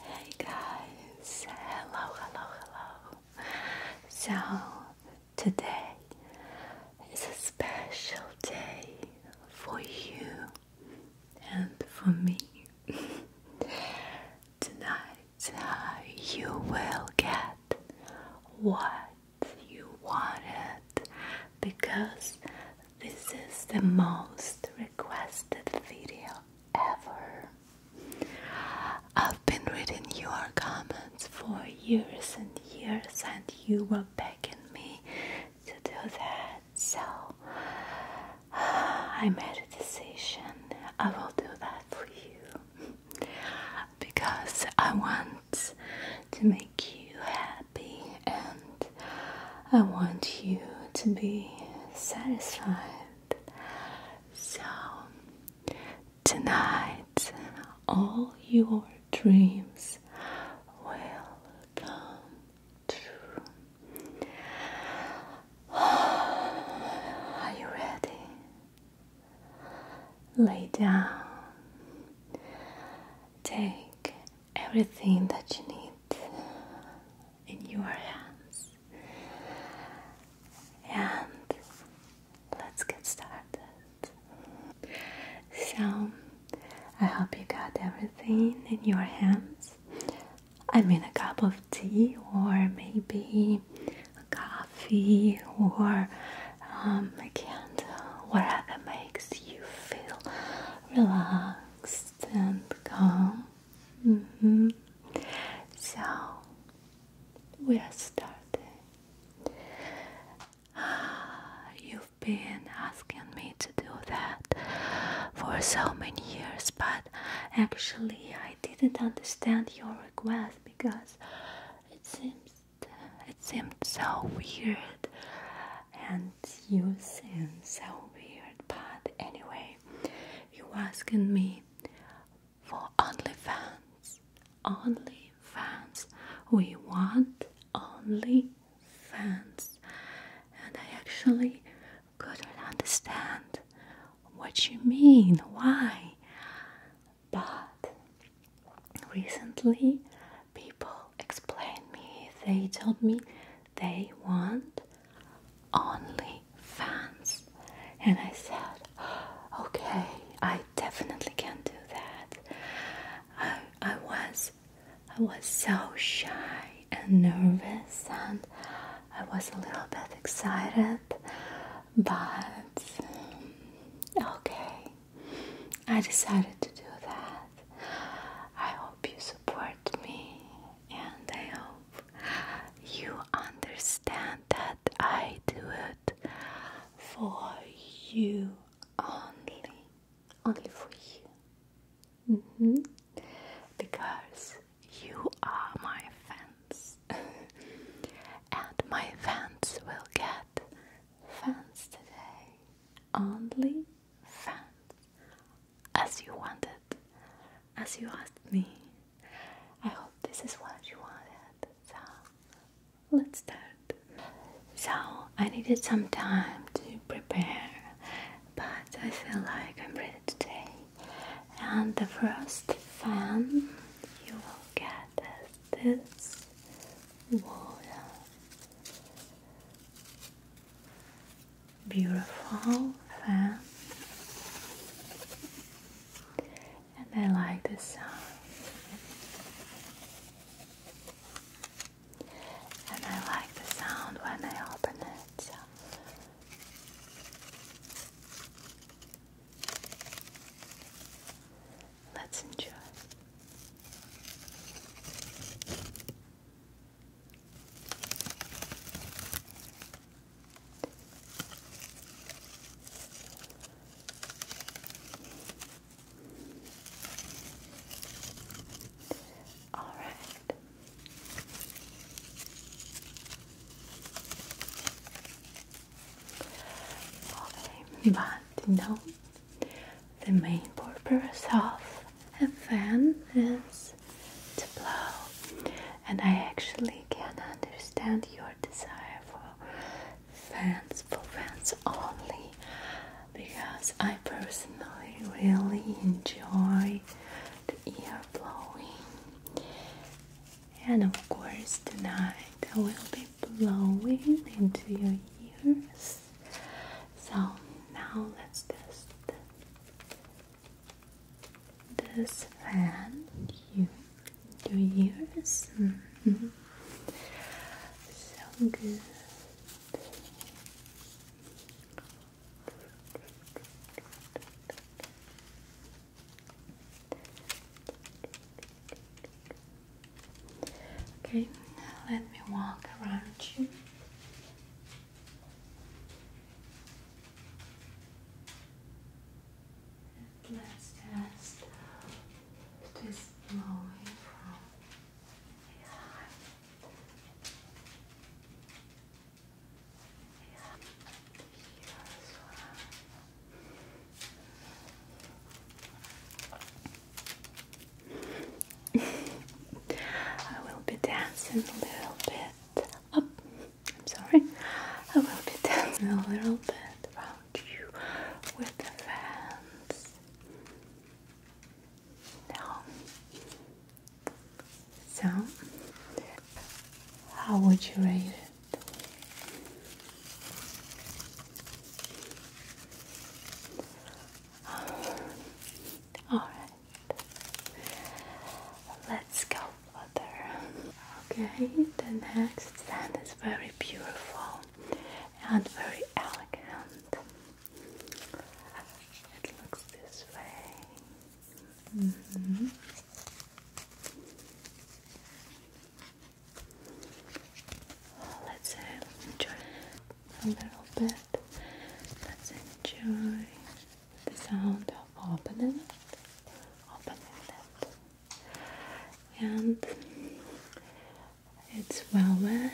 Hey guys, hello, hello, hello. So, today is a special day for you and for me. Tonight, uh, you will get what you wanted because this is the most requested video ever. I've been reading your comments for years and years, and you were begging me to do that. So I made a decision. I will do that for you because I want to make you happy and I want you to be satisfied. So, tonight, all your dreams will come true. Are you ready? Lay down. Take everything that you need in your hands. And let's get started. So, I hope you got everything in your hands. I mean, a cup of tea, or maybe a coffee, or um, a candle, whatever makes you feel relaxed and calm. Mm-hmm. So we are starting. You've been asking me to do that for so many years, but actually, I didn't understand your request because it seems it seemed so weird and use and so weird. But anyway, you asking me for only fans, only fans. We want only fans, And I actually couldn't understand what you mean, why. But recently people explained me, they told me they want only fans and I said okay I definitely can do that I, I was I was so shy and nervous and I was a little bit excited but um, okay I decided to do that I hope you support me and I hope you understand that I do it for you only, only for you, mm -hmm. because you are my fans, and my fans will get fans today, only fans as you wanted, as you asked me. I hope this is what you wanted. So, let's start. So, I needed some time to prepare, but I feel like I'm ready today. And the first fan you will get is this water beautiful fan and I like the sound and I like the sound when I open it Let's enjoy. All right. Okay, but you know the main purpose of a fan is to blow, and I actually can understand your desire for fans, for fans only, because I personally really enjoy the air blowing, and of course, tonight I will be blowing into your ears. So now let's test this fan you do years mm -hmm. so good Okay, now let me walk around you. Let's test this blowing from his eye. Here as well. I will be dancing a little bit I'm sorry. I will be dancing a little bit around you with the fans. Now, so how would you rate it? All right. Let's go further. Okay, the next scent is very beautiful and very elegant. It looks this way. Mm-hmm. Let's uh, enjoy a little bit. Let's enjoy the sound of opening it, opening it, and it's well wet,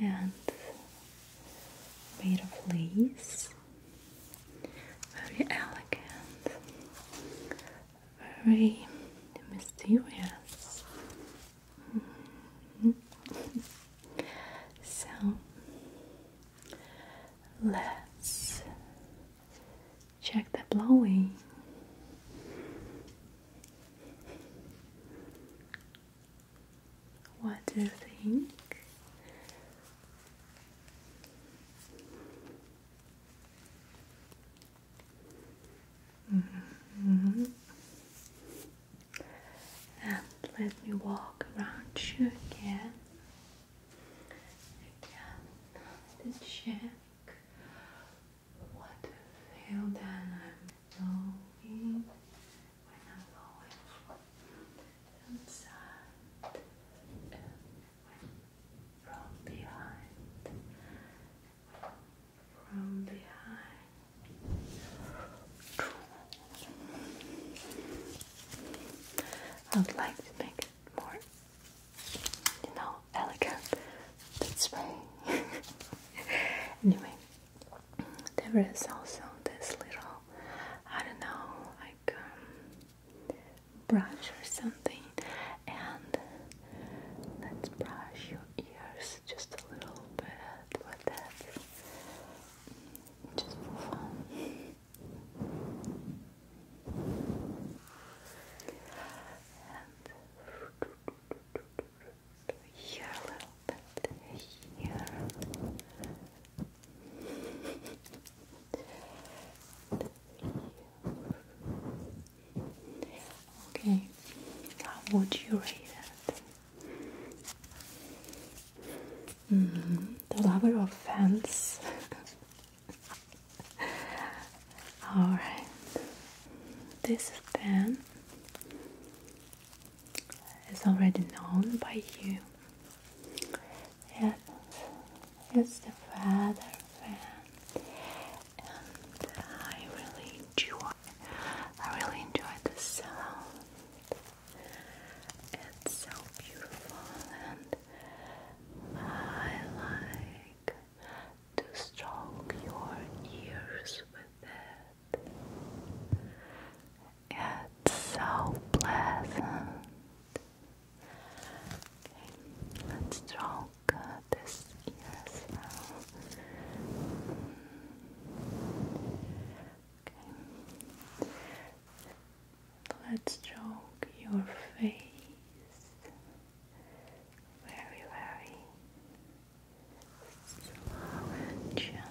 and made of lace, very elegant, very mysterious so let's check the blowing. What do you think? Mm-hmm. Mm-hmm. And let me walk around you again. Again, to check what the hell that I'm knowing when I'm going from inside and from behind from behind. I would like to make it more, you know, elegant. That's why. anyway, there is also this little, I don't know, like um, brush or something, and Let's brush your ears just a little bit with that, just for fun. And here a little bit, Here. Okay, how would you rate it? Mm mm-hmm, The lover of fans. Alright, this fan is already known by you. Yes, it's the father fan and I really enjoy I really enjoy the sound. It's so beautiful and I like to stroke your ears with it. It's so pleasant. let's draw got this ear Okay. Let's stroke your face very, very slow and gentle.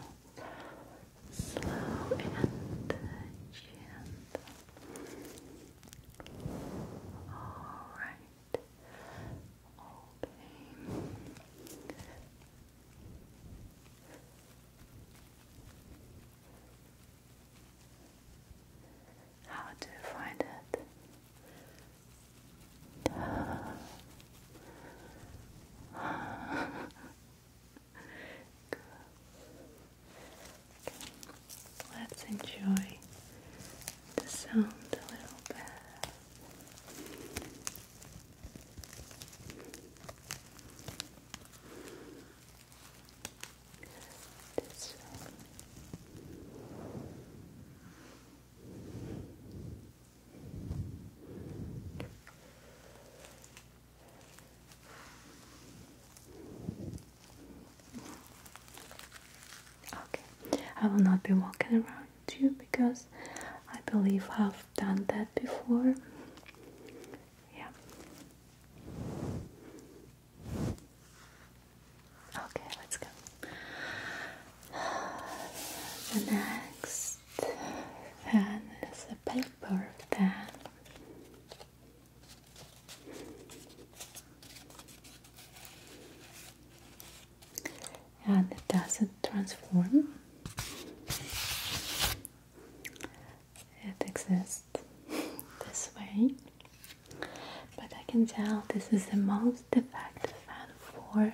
Slow and gentle. All right. Okay. How do you find it? Let's enjoy the sound a little bit. Okay, I will not be walking around because I believe I've done that before. Yeah. Okay, let's go. The next fan is paper fan and it doesn't transform. It exists this way, but I can tell this is the most effective fan for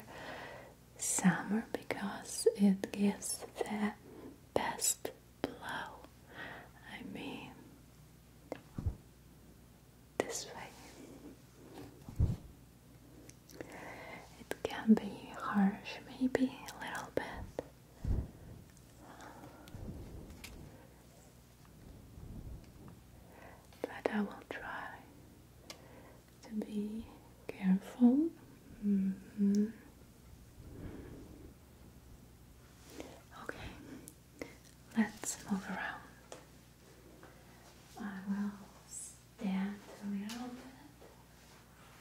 summer because it gives the best blow. I mean, this way. It can be harsh, maybe a little bit. But I will try to be careful. Mm-hmm. Okay, let's move around. I will stand a little bit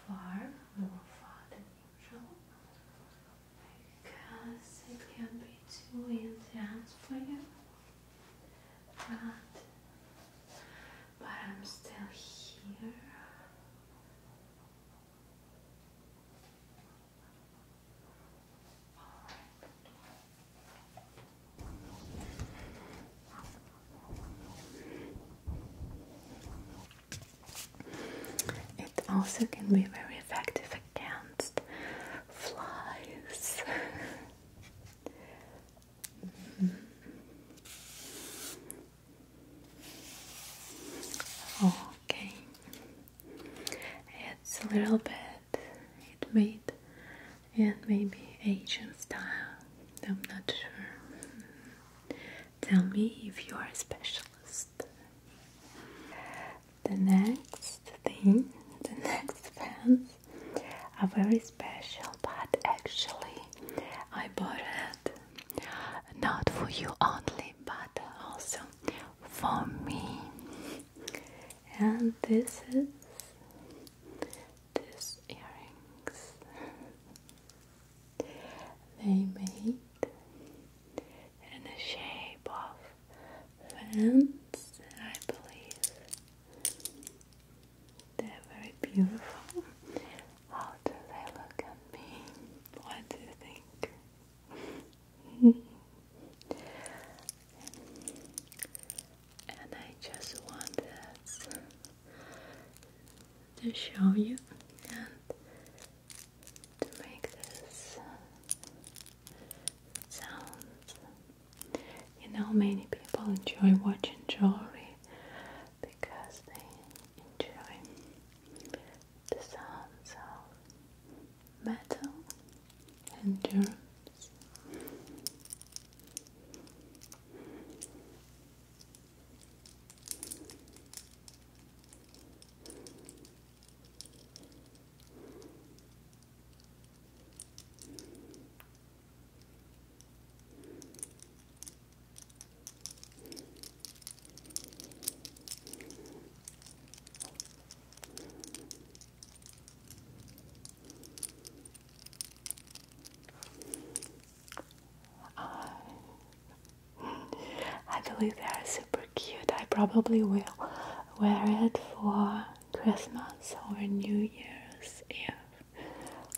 far, more far than usual, because it can be too intense for you. But, but I'm still here. It also can be very effective against flies. Mm-hmm. Okay, it's a little bit it made and maybe Asian style. I'm not sure. Tell me if you are a specialist. The next thing, the next pants are very special, but actually I bought it not for you only, but also for me and this is this earrings they made in the shape of fans, I believe. They're very beautiful. How do they look at me? What do you think? and I just wanted to show you and to make this sound. You know, many people enjoy watching jewelry because they enjoy the sounds of metal and your arms. Uh, I believe they are super cute. I probably will wear it for Christmas or New Year's Eve.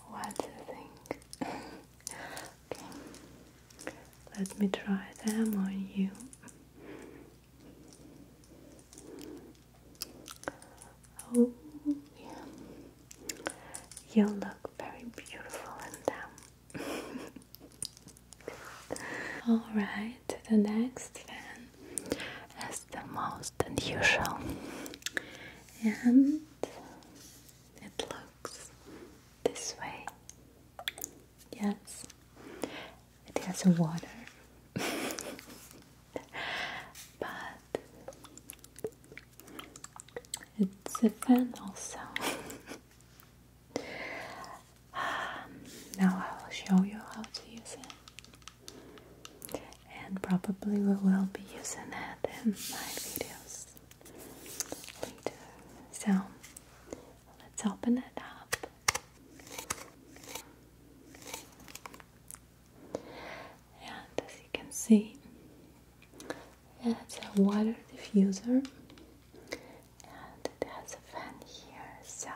What do you think? okay. Let me try them on you. Oh, yeah. You look very beautiful in them. Alright, the next one is the most unusual. And it looks this way. Yes it has water but it's a fan also now I will show you how to use it and probably we will be using it in my videos later so let's open it up and as you can see, it's a water diffuser and it has a fan here, so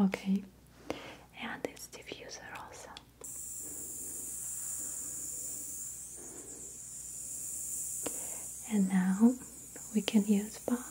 Okay, and this diffuser also. And now we can use both.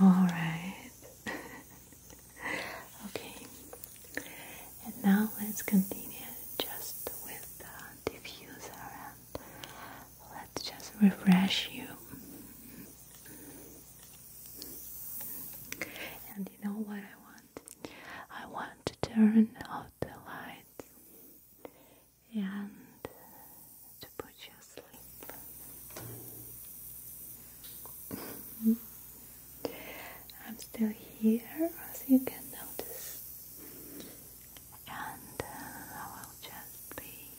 All right. okay. And now let's continue just with the diffuser and let's just refresh you. And you know what I want? I want to turn out the lights and to put you asleep. I'm still here as you can notice, and uh, I will just be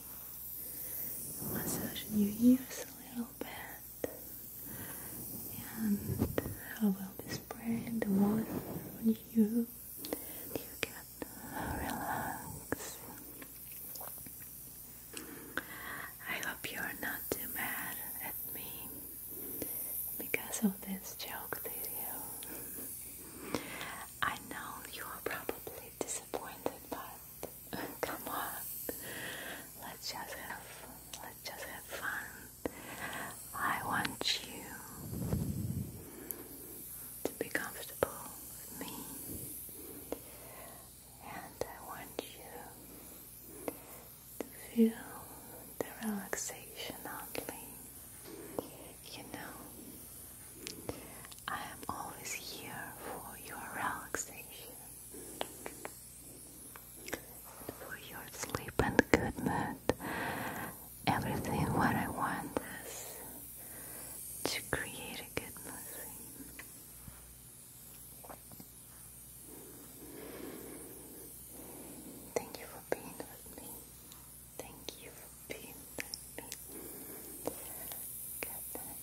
massaging your ears a little bit, and I will be spraying the water on you you can relax. I hope you're not too mad at me because of this joke video. I know you are probably disappointed, but come on, let's just have let's just have fun. I want you to be comfortable with me, and I want you to feel the relaxation only. You know, I am always here for your relaxation, for your sleep and good mood everything what I want is to create a good movie. Thank you for being with me. Thank you for being with me. Good night.